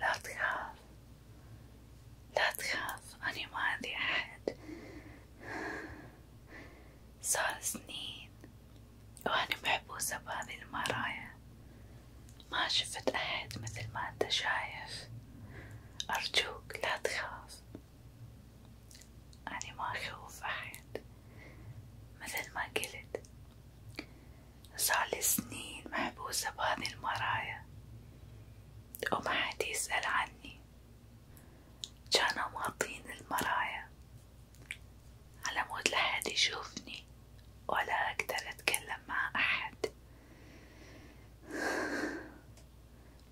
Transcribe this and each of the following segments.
لا تخاف لا تخاف أنا ما عندي أحد صار سنين وأنا محبوسة بهذه المرايا ما شفت أحد مثل ما أنت شايف أرجوك لا تخاف أنا ما أخوف أحد مثل ما قلت صارلي سنين محبوسة بهذه المرايا وما حد يسأل عني كانوا مغطين المرايا على مود لحد يشوفني ولا أقدر أتكلم مع أحد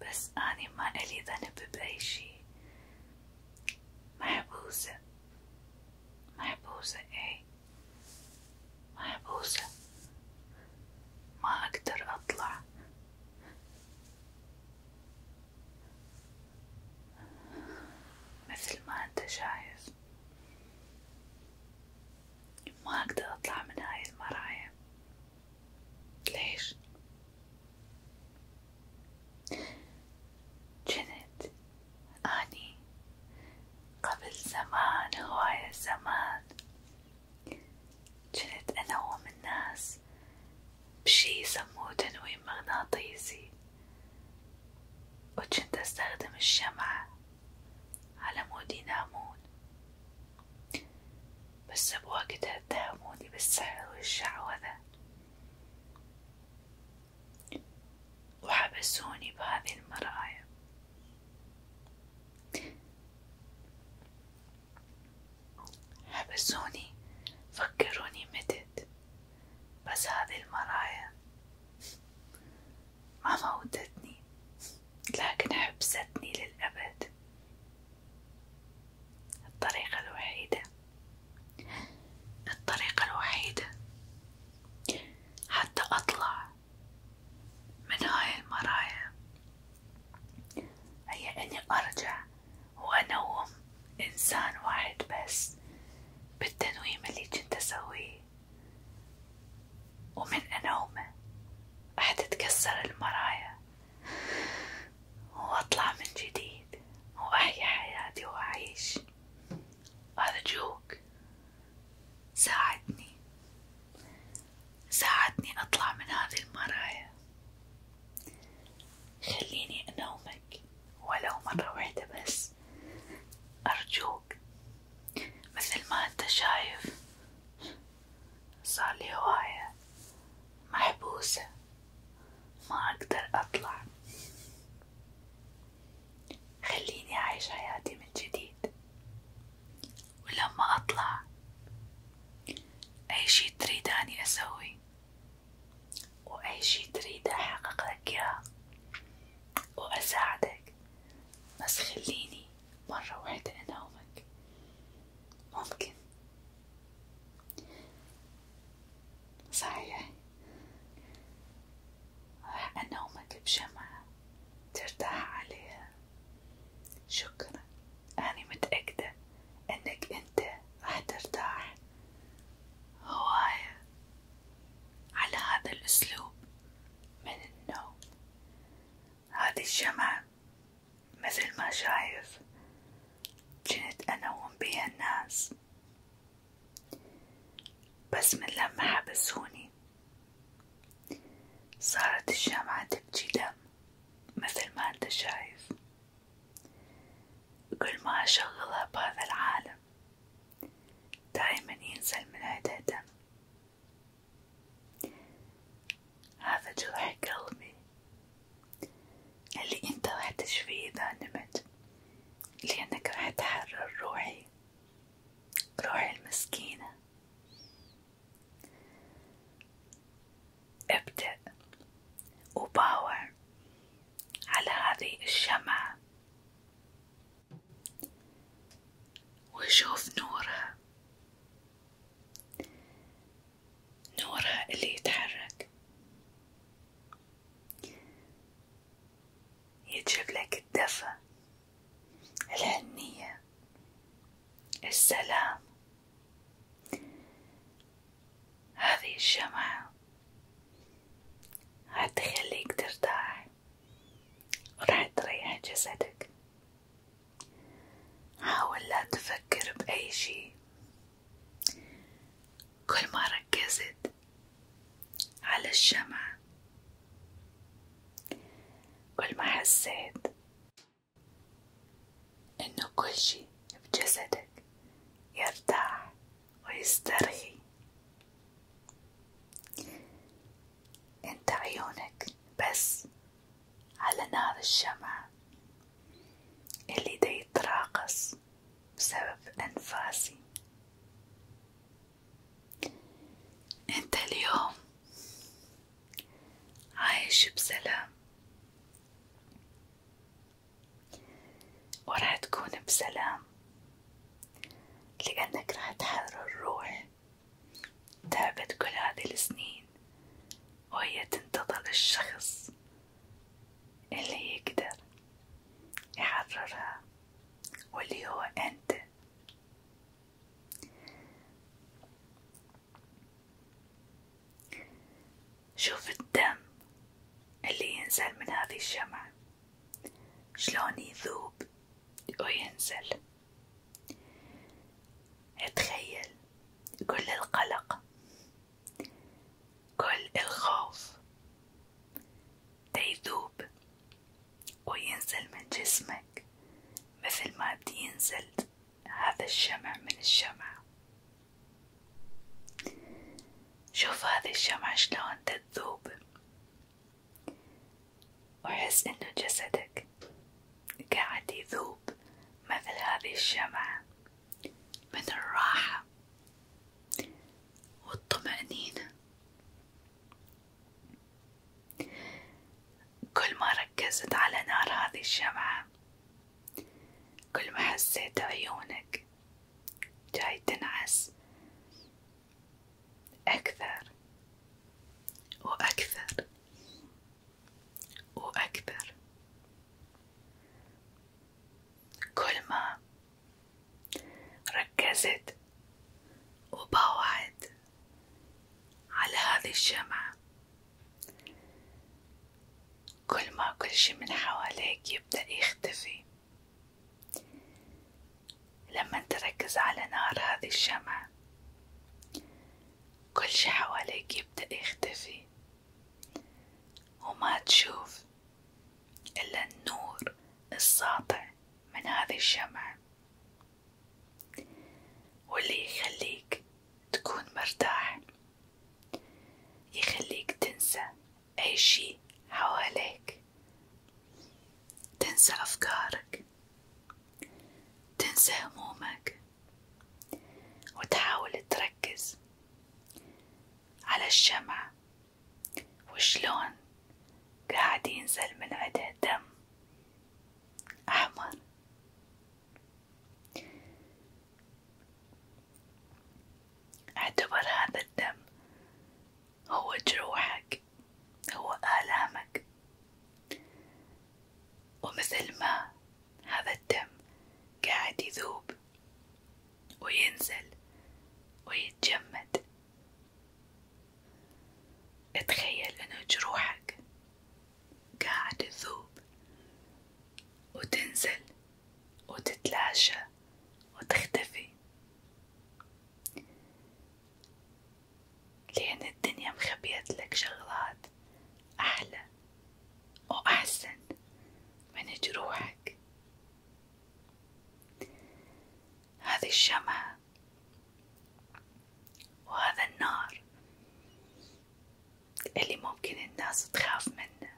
بس أني ما إلي ذنب بأي شي محبوسة محبوسة ايه محبوسة ما أقدر أطلع مثل ما أنت شايف ما أقدر أطلع من هاي المراية ليش جنت أني قبل زمان هواية زمان جنت أنوم الناس بشي يسموه تنويم مغناطيسي وجنت أستخدم الشمعة على مود ينامون بس بوقت اتهموني بالسحر والشعوذة وحبسوني بهذه المرايا حبسوني فكروني متت بس هذه المرايا ما موتتني لكن حبستني للأبد الطريقة الوحيدة الطريقة الوحيدة حتى أطلع من هاي المرايا هي إني أرجع وأنوم إنسان واحد بس بالتنويم اللي كنت أسويه ومن أنومه راح تتكسر المرايا واطلع من جديد واحيا حياتي واعيش ارجوك ساعدني ساعدني اطلع من هذه المرايا خليني انومك ولو مرة واحدة بس ارجوك مثل ما انت شايف صار لي هواية محبوسة ما أقدر أطلع خليني أعيش حياتي من جديد ولما أطلع أي شي تريد أني أسوي وأي شي تريد أحقق لك إياه وأساعدك بس خليني مرة واحدة أنومك ممكن صحيح راح أنومك بجمعة ترتاح عليها شكرا أنا متأكدة أنك أنت راح ترتاح هواية على هذا الأسلوب من النوم هذه الجمعة مثل ما شايف كنت أنوم بيها الناس بس من لما حبسوني صارت الشمعة تبجي دم مثل ما انت شايف كل ما أشغلها بهذا العالم دايما ينزل من عندها دم هذا جرح قلبي اللي انت راح تشفيه اذا نمت لانك راح تحرر روحي روحي المسكينة ابدأ وباور على هذه الشمعة وشوف نورها نورها اللي يتحرك يجيب لك الدفى الحنية السلام هذه الشمعة هتخليك ترتاح وراح تريح جسدك حاول لا تفكر بأي شي كل ما ركزت على الشمع كل ما حسيت إنه كل شي بجسدك يرتاح ويسترخي انت عيونك بس على نار الشمعة اللي دا يتراقص بسبب أنفاسي أنت اليوم عايش بسلام وراح تكون بسلام لأنك راح تحرر روح تعبت كل هذه السنين سنين وهي تنتظر الشخص اللي يقدر يحررها واللي هو أنت شوف الدم اللي ينزل من هذه الشمعة شلون يذوب وينزل اتخيل كل القلق كل الخوف تيذوب وينزل من جسمك مثل ما بينزل هذا الشمع من الشمع شوف هذه الشمعة شلون تذوب وحس انه جسدك قاعد يذوب مثل هذه الشمعة من الراحة والطمأنينة كل ما ركزت على نار هذه الشمعة كل ما حسيت عيونك جاي تنعس أكثر وأكثر وأكبر كل ما ركزت وبوعد على هذه الشمعة كل ما كل شي من حواليك يبدأ يختفي لما تركز على نار هذه الشمعة كل شي حواليك يبدأ يختفي وما تشوف إلا النور الساطع من هذه الشمعة واللي يخليك تكون مرتاح يخليك تنسى أي شي حواليك تنسى أفكارك تنسى همومك وتحاول تركز على الشمع وشلون قاعد ينزل من عده دم أحمر اعتبر هذا الدم هو جروحك هو آلامك ومثل ما هذا الدم قاعد يذوب وينزل ويتجمد اتخيل انه جروحك قاعد تذوب وتنزل وتتلاشى وتختفي لأن الدنيا مخبيت لك شغلات أحلى وأحسن من جروحك هذه الشمعة وهذا النار اللي ممكن الناس تخاف منه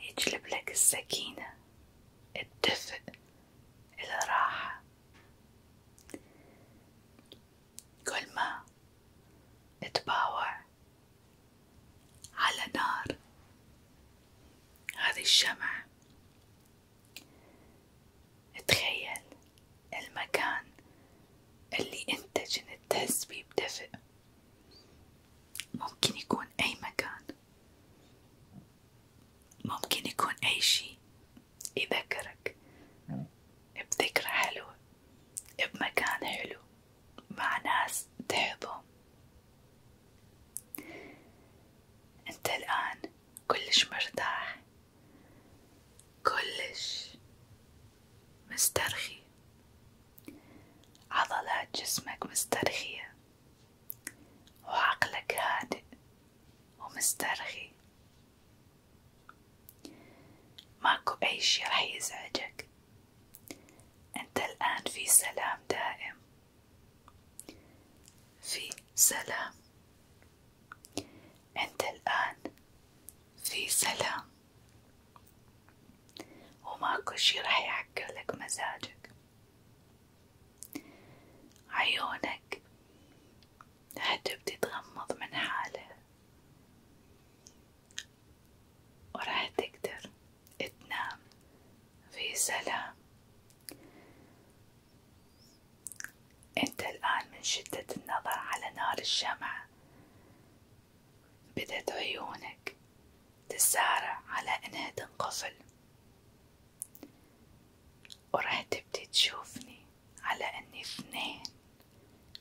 يجلب لك السكينة الدفء الراحة كل ما اتباوع على نار هذه الشمع تخيل المكان اللي انت جنت تحس بيه بدفء ممكن يكون اي مكان ممكن يكون اي شي يذكرك نعم. بذكرى حلوة بمكان حلو مع ناس تحبهم انت الآن كلش مرتاح كلش مسترخي عضلات جسمك مسترخية وعقلك هادئ ومسترخي ماكو أي شي رح يزعجك أنت الآن في سلام دائم في سلام أنت الآن في سلام وماكو شي رح لك مزاجك عيونك هتبدي تغمض من حالها وراح تقدر تنام في سلام انت الآن من شدة النظر على نار الشمعة بدت عيونك تسارع على انها تنقفل وراح تبدي تشوفني على اني اثنين